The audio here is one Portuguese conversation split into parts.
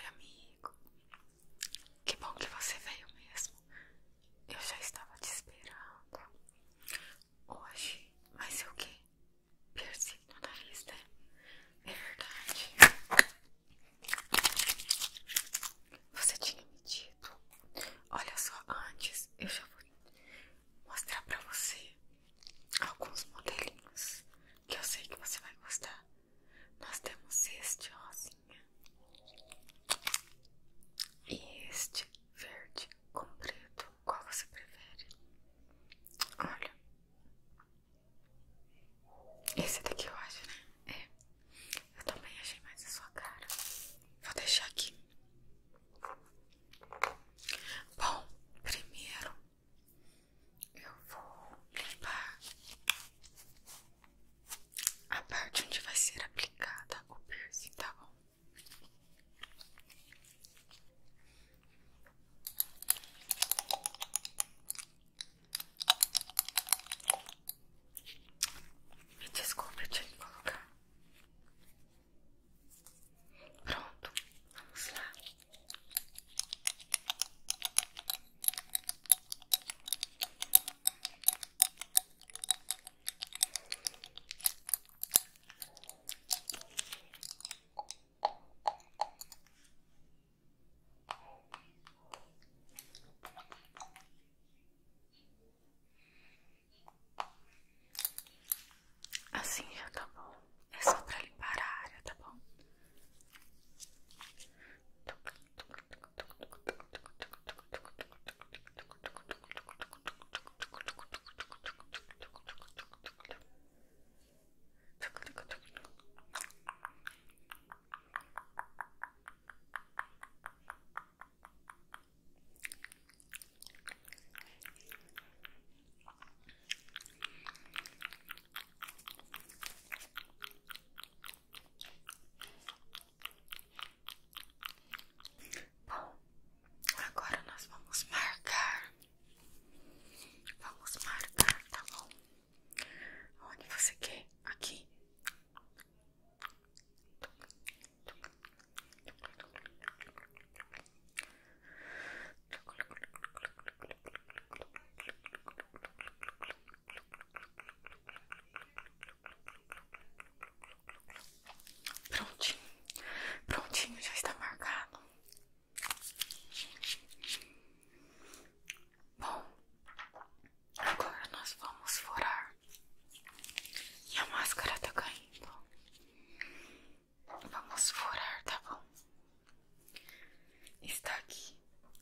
amigo, que bom que você veio mesmo. Eu já estava te esperando hoje, vai ser o quê? no nariz, né? É verdade. Você tinha me dito. Olha só, antes eu já vou mostrar para você alguns modelinhos que eu sei que você vai gostar. Nós temos este rosinha assim, e este verde com preto. Qual você prefere? Olha, esse daqui eu acho, né? É, eu também achei mais a sua cara. Vou deixar aqui. Bom, primeiro eu vou limpar a parte onde vai ser aplicada o piercing, tá bom? Me desculpe, eu tinha que colocar. Pronto, vamos lá. Assim acabou é só para limpar a área, tá bom? Bom, agora nós vamos marcar. Vamos marcar, tá bom? Onde você quer? Aqui. Prontinho, prontinho, já está marcado. Bom, agora nós vamos furar. E a máscara está caindo. Vamos furar, tá bom? Está aqui.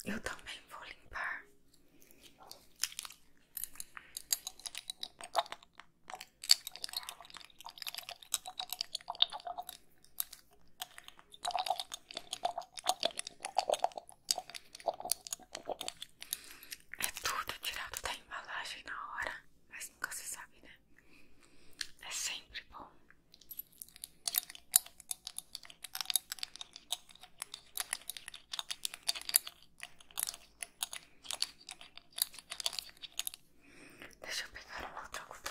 Eu também vou limpar. É tudo tirado da embalagem na hora, mas nunca se sabe, né? É sempre bom. Deixa eu pegar um outro algodão.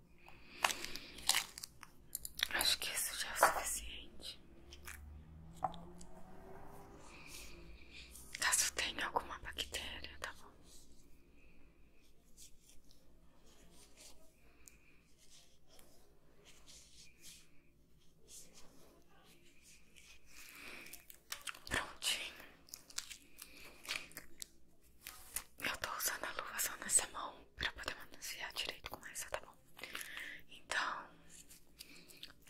Acho que isso já é o suficiente. Caso tenha alguma bactéria, tá bom? Prontinho. Eu tô usando a luva só nessa mão pra poder manusear direito com essa, tá bom? Então,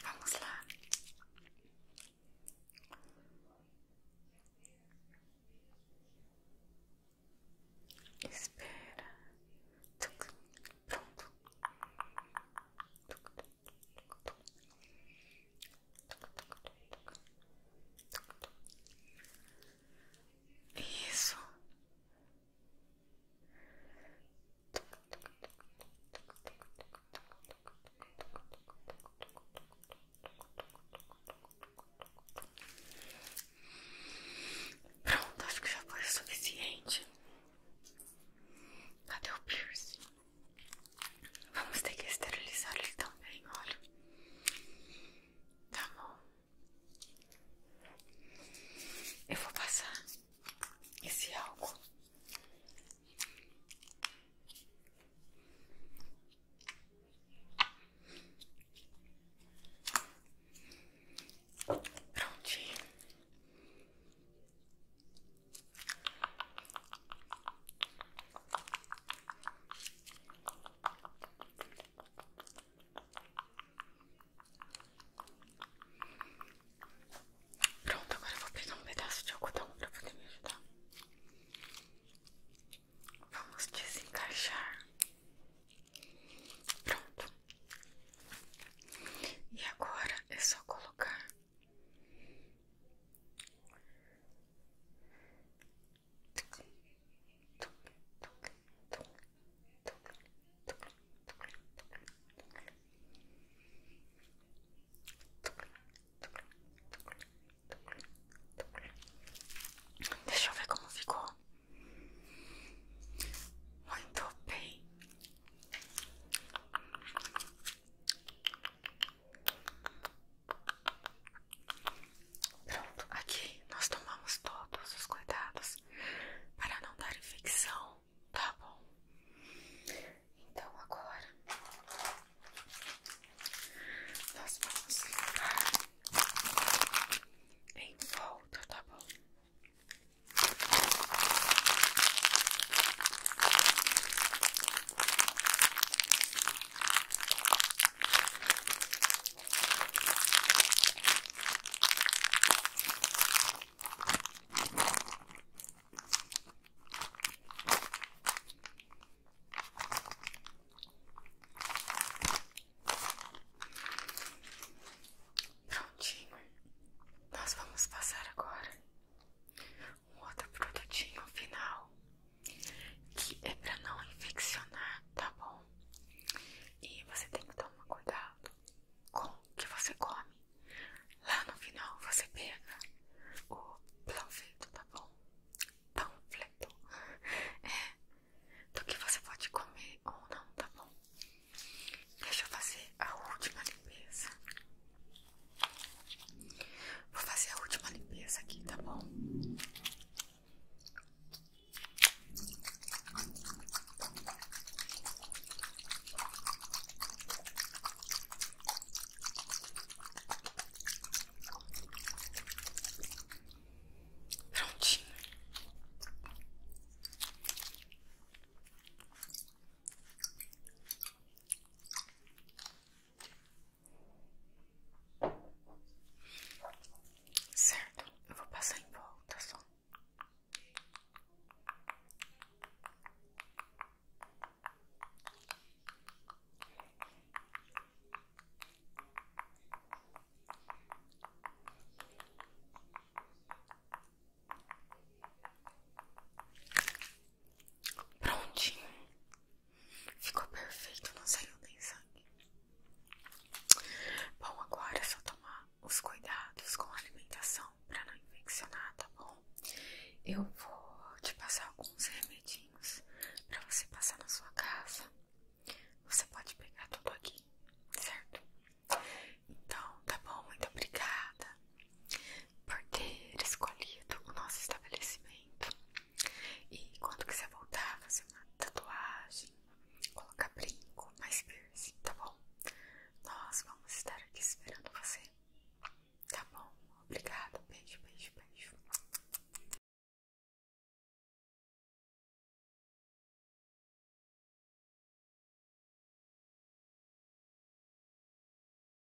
vamos lá. Espera. Pronto. Isso. Pronto, acho que já foi suficiente. Cadê o piercing? Vamos ter que esterilizar ele também, olha. Tá bom. Eu vou passar esse álcool prontinho. Pronto, agora vou pegar um pedaço de algodão pra poder me ajudar. Vamos desencaixar. Pronto. E agora é só colocar Deixa eu ver como ficou. Muito bem. Pronto, aqui nós tomamos todos os cuidados para não dar infecção, tá bom? Então agora nós vamos limpar em volta, tá bom? Prontinho, nós vamos passar agora um outro produtinho final que é pra não infeccionar, tá bom? E você tem que tomar cuidado com o que você come. Lá no final você pega o panfleto, tá bom? Panfleto. É, do que você pode comer ou não, tá bom? Deixa eu fazer a última limpeza. Vou fazer a última limpeza aqui, tá bom? Prontinho. Certo, eu vou passar em volta só. Prontinho. Ficou perfeito, não saiu nem sangue. Bom, agora é só tomar os cuidados com a alimentação para não infeccionar, tá bom? Eu vou te passar alguns remedinhos para você passar na sua casa. Você pode pegar tudo aqui, certo? Então, tá bom, muito obrigada por ter escolhido o nosso estabelecimento. E quando quiser voltar, fazer uma tatuagem, colocar brinco, mais piercing, tá bom? Nós vamos estar aqui esperando você. Tá bom? Obrigada. Beijo, beijo, beijo.